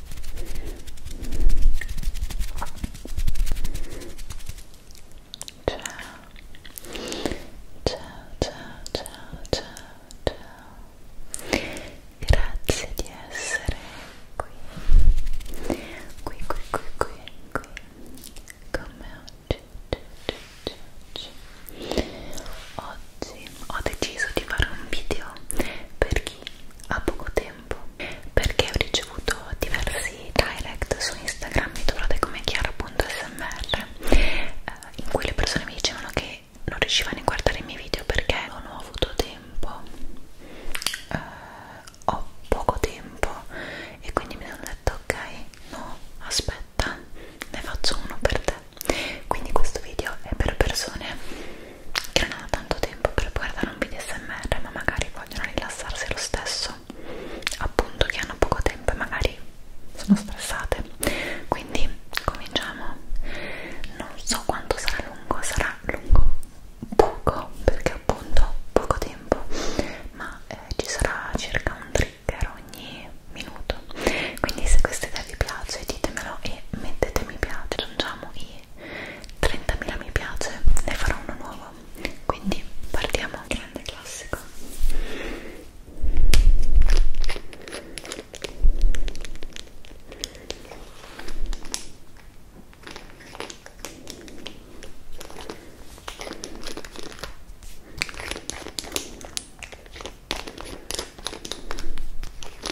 ciao ciao ciao ciao grazie di essere qui qui qui qui qui, qui. come oggi oggi, oggi oggi oggi ho deciso di fare un video per chi ha poco tempo tempo perché ho ricevuto diversi direct su Instagram, mi trovate come chiara.smr eh, in cui le persone mi dicevano che non riuscivano a guardare i miei video perché non ho avuto tempo eh, ho poco tempo e quindi mi hanno detto ok, no, aspetta ne faccio uno per te quindi questo video è per persone che non hanno tanto tempo per guardare un video smr ma magari vogliono rilassarsi lo stesso appunto che hanno poco tempo e magari sono stressate quindi cominciamo non so quanto sarà lungo sarà lungo poco perché appunto poco tempo ma eh, ci sarà circa un trigger ogni minuto quindi se questa idea vi piace ditemelo e mettete mi piace aggiungiamo i 30.000 mi piace, ne farò uno nuovo. Quindi partiamo. Grande classico.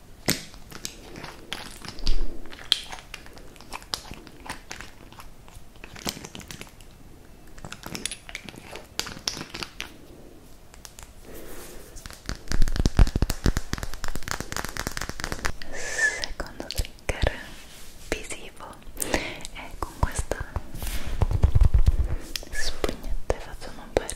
Secondo trigger visivo e con questa spugnetta facciamo un bel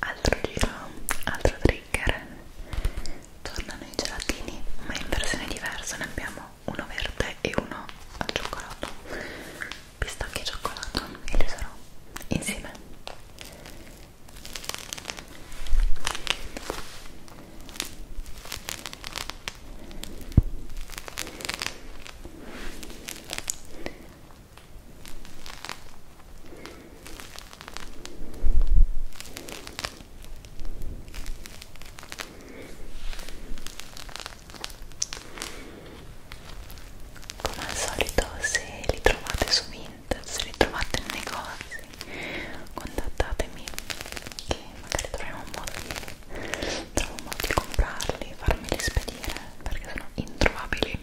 Altro giro, altro trigger. Tornano i gelatini, ma in versione diversa ne abbiamo uno verde e uno al cioccolato pistacchi e cioccolato e li userò insieme come al solito se li trovate su Vinted, se li trovate nei negozi contattatemi che magari troviamo un modo di, trovo un modo di comprarli, farmeli spedire perché sono introvabili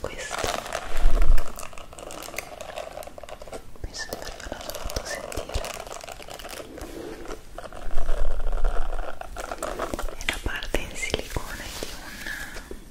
Questo penso di avervelo fatto sentire. È la parte in silicone di un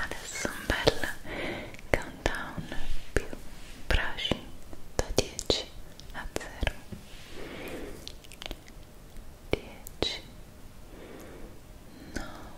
Adesso un bel countdown più brushing da 10 a 0 10 9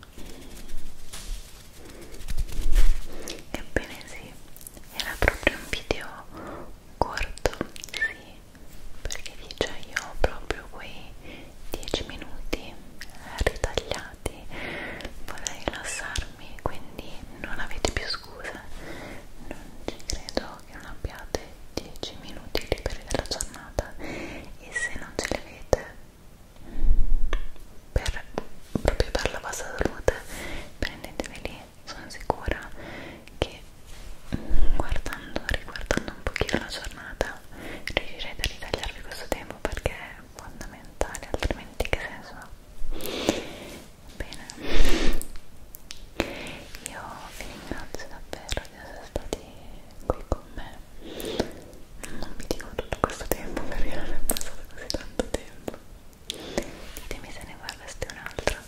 Ebbene sì, era proprio un video corto, sì, perché dice io ho proprio quei 10 minuti ritagliati, vorrei rilassarmi, quindi non avete più scuse, non ci credo che non abbiate 10 minuti liberi della giornata e se non ce l'avete per, proprio per la vostra salute prendetevi lì sono sicura che mm, guardando, riguardando un pochino la giornata riuscirete a ritagliarvi questo tempo perché è fondamentale altrimenti che senso ha? bene io vi ringrazio davvero di essere stati qui con me non vi dico tutto questo tempo perché non è passato così tanto tempo ditemi se ne guardaste un'altra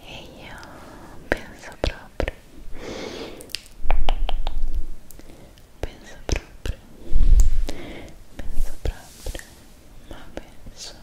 E io penso proprio, penso proprio, penso proprio, ma penso